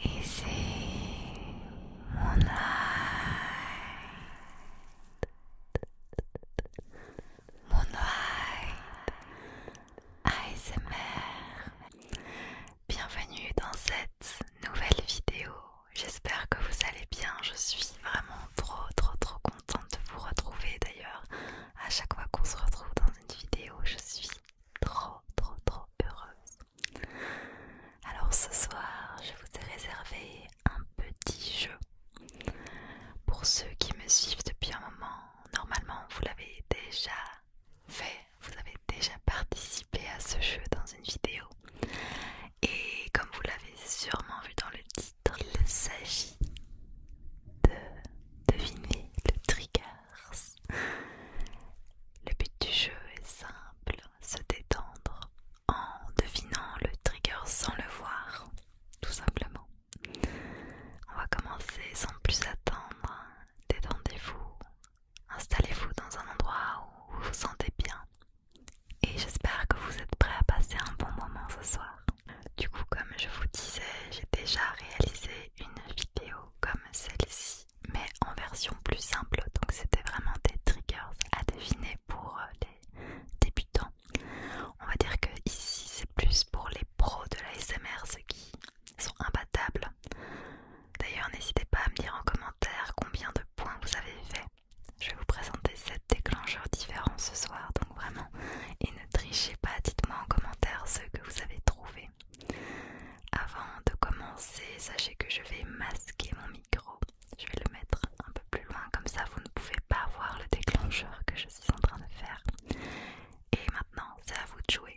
Et c'est moonlight? Moonlight ASMR Bienvenue dans cette nouvelle vidéo j'espère que vous allez bien. Je suis vraiment trop trop trop contente de vous retrouver d'ailleurs. À chaque fois qu'on se retrouve dans une vidéo, je suis trop trop trop heureuse. Alors ce soir, je vous ai réservé un petit jeu. Pour ceux qui me suivent depuis un moment, normalement vous l'avez déjà fait, vous avez déjà participé à ce jeu dans une vidéo. Et comme vous l'avez sûrement vu dans le titre, il s'agit de deviner le trigger. Le but du jeu est simple, se détendre en devinant le trigger sans le voir, tout simplement. On va commencer sans plus attendre. Détendez-vous, installez-vous dans un endroit où vous vous sentez bien et j'espère que vous êtes prêts à passer un bon moment ce soir. Du coup, comme je vous disais, j'ai déjà réalisé une vidéo comme celle-ci, mais en version plus simple, donc c'était vraiment des triggers à deviner pour euh, les débutants. On va dire que ici c'est plus pour les pros de la SMR, ceux qui sont imbattables. D'ailleurs, n'hésitez pas à me dire en commentaire combien de points vous avez fait. Je vais vous présenter 7 déclencheurs différents ce soir, donc vraiment, et ne trichez pas, dites-moi en commentaire ce que vous avez trouvé. Avant de commencer, sachez que je vais masquer mon micro. Je vais le mettre un peu plus loin, comme ça vous ne pouvez pas voir le déclencheur que je suis en train de faire. Et maintenant, c'est à vous de jouer.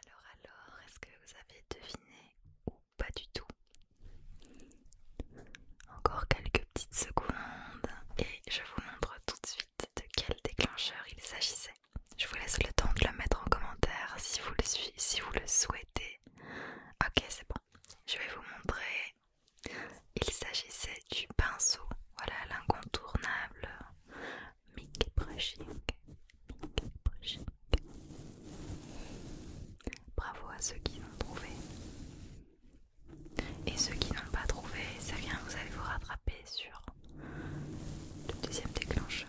Alors alors, est-ce que vous avez deviné ou pas du tout encore quelques petites secondes et je vous montre tout de suite de quel déclencheur il s'agissait. Je vous laisse le temps de le mettre en commentaire si vous le, souhaitez. Ok, c'est bon. Je vais vous montrer. Il s'agissait du pinceau. Voilà l'incontournable Mic Brushing. Bravo à ceux qui l'ont trouvé. Et ceux qui n'ont pas trouvé, ça vient, vous allez vous rattraper sur le deuxième déclencheur.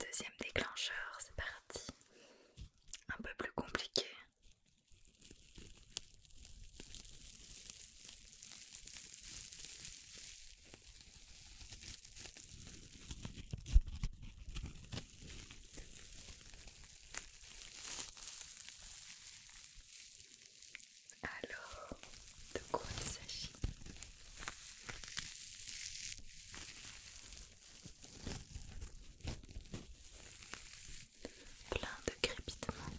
Deuxième déclencheur, c'est parti. Un peu plus compliqué. Alors, de quoi il s'agit plein de crépitements.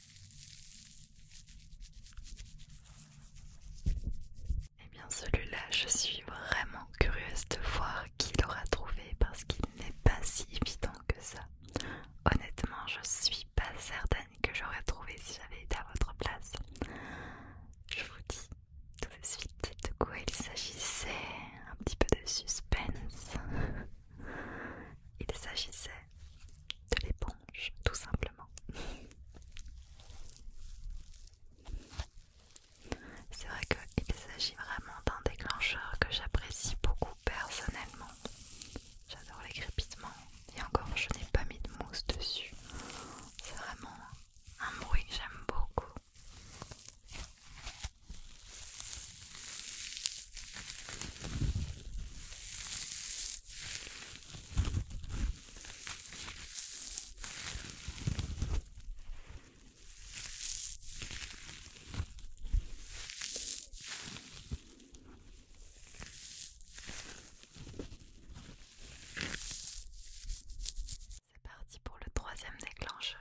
Eh bien celui-là, je suis vraiment curieuse de voir qui l'aura trouvé parce qu'il n'est pas si évident que ça. Honnêtement, je suis pas certaine que j'aurais trouvé si j'avais été à votre place. Je vous dis tout de suite de quoi il s'agissait. Un petit peu de suspense. Il s'agissait de l'éponge, tout simplement. C'est vrai qu'il s'agit vraiment d'un déclencheur que j'apprécie beaucoup personnellement. J'adore les crépitements et encore je n'ai pas mis de mousse dessus. C'est vraiment un bruit que j'aime beaucoup. C'est parti pour le troisième déclencheur.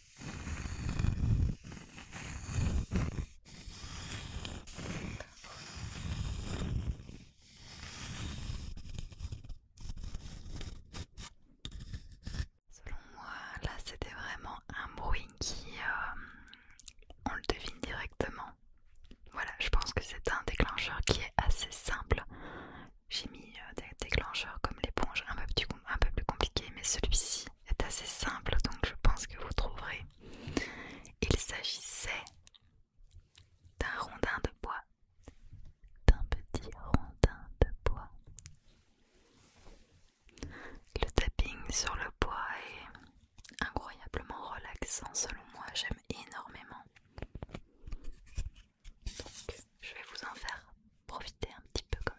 Selon moi, là c'était vraiment un bruit qui, euh, on le devine directement. Voilà, je pense que c'est un déclencheur qui est assez simple. J'ai mis euh, déclencheur comme l'éponge un, un peu plus compliqué, mais celui-ci est assez simple, donc je pense que vous trouverez. Il s'agissait d'un rondin de bois, d'un petit rondin de bois. Le tapping sur le bois est incroyablement relaxant selon moi, j'aime énormément. Donc je vais vous en faire profiter un petit peu quand même.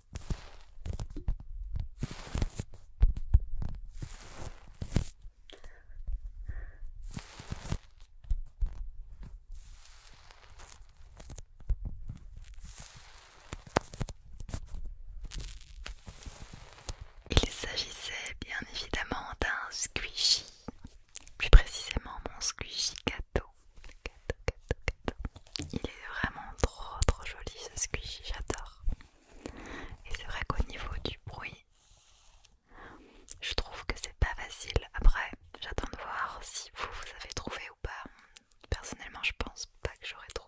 Il s'agissait bien évidemment d'un squishy, plus précisément mon squishy gâteau. Il est vraiment trop trop joli ce squishy, j'adore. Et c'est vrai qu'au niveau du bruit, je trouve que c'est pas facile. Après, j'attends de voir si vous, vous avez trouvé ou pas. Personnellement, je pense pas que j'aurais trouvé.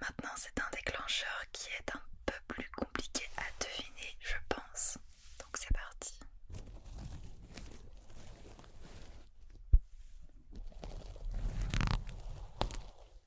Maintenant, c'est un déclencheur qui est un peu plus compliqué à deviner, je pense. Donc c'est parti.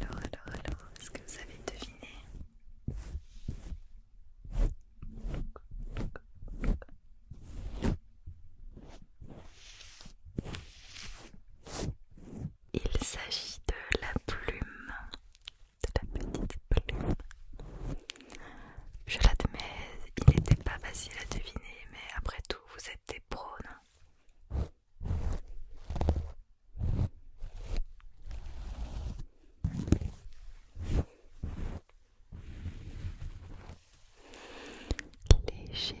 Alors, alors, alors, est-ce que vous avez deviné il s'agit de la plume, de la petite plume. Je l'admets, il n'était pas facile à deviner, mais après tout, vous êtes des pros, Léger,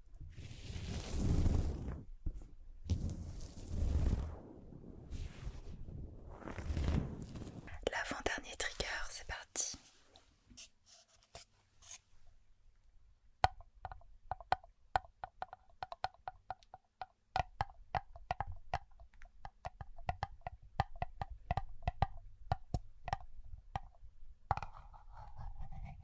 L'avant-dernier trigger, c'est parti.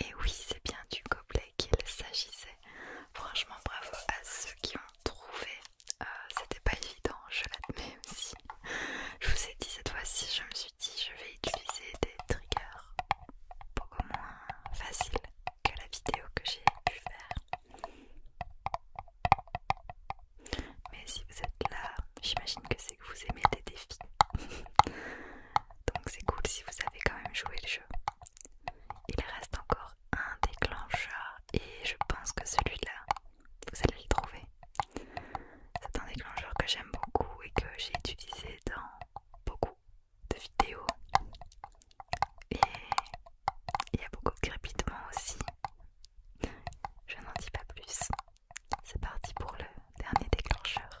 Et oui, c'est bien du gobelet qu'il s'agissait. Franchement, bravo à ceux qui ont trouvé. Euh, c'était pas évident, je l'admets aussi. je vous ai dit cette fois-ci, je me suis dit, je vais utiliser des triggers beaucoup moins faciles que la vidéo que j'ai pu faire. Mais si vous êtes là, j'imagine que c'est que vous aimez les défis. Donc c'est cool si vous avez quand même joué le jeu. Il reste encore un déclencheur et je pense que celui-là, vous allez le trouver. C'est un déclencheur que j'aime beaucoup et que j'ai utilisé dans beaucoup de vidéos. Et il y a beaucoup de crépitement aussi. Je n'en dis pas plus. C'est parti pour le dernier déclencheur.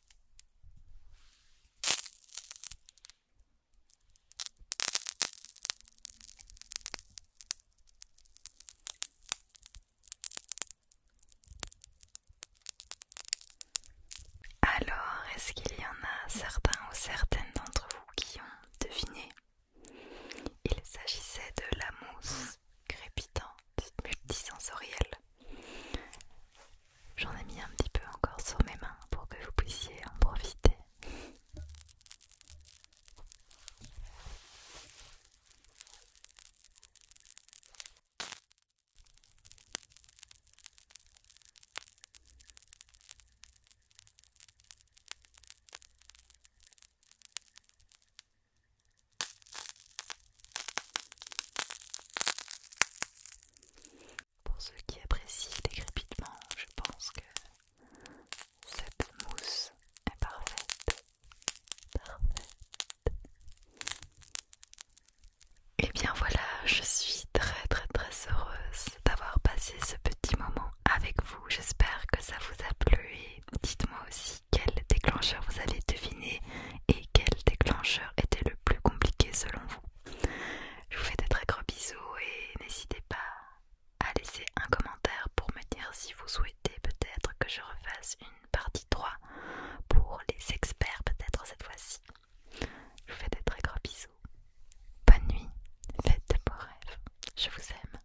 Alors, est-ce qu'il y en a certains ou certaines d'entre vous qui ont deviné Il s'agissait de la mousse crépitante multisensorielle. J'en ai mis un petit peu encore sur mes mains pour que vous puissiez en profiter. Pour ceux qui apprécient les crépitements, je pense que cette mousse est parfaite. Et eh bien voilà, je suis très très très heureuse d'avoir passé ce petit moment avec vous. J'espère que ça vous a plu et dites-moi aussi quel déclencheur vous avez deviné et quel déclencheur était le plus compliqué selon vous Je vous fais des très gros bisous et n'hésitez pas à laisser un commentaire pour me dire si vous souhaitez peut-être que je refasse une partie 3 pour les experts peut-être cette fois-ci. Je vous fais des très gros bisous. Bonne nuit, faites de beaux rêves. Je vous aime.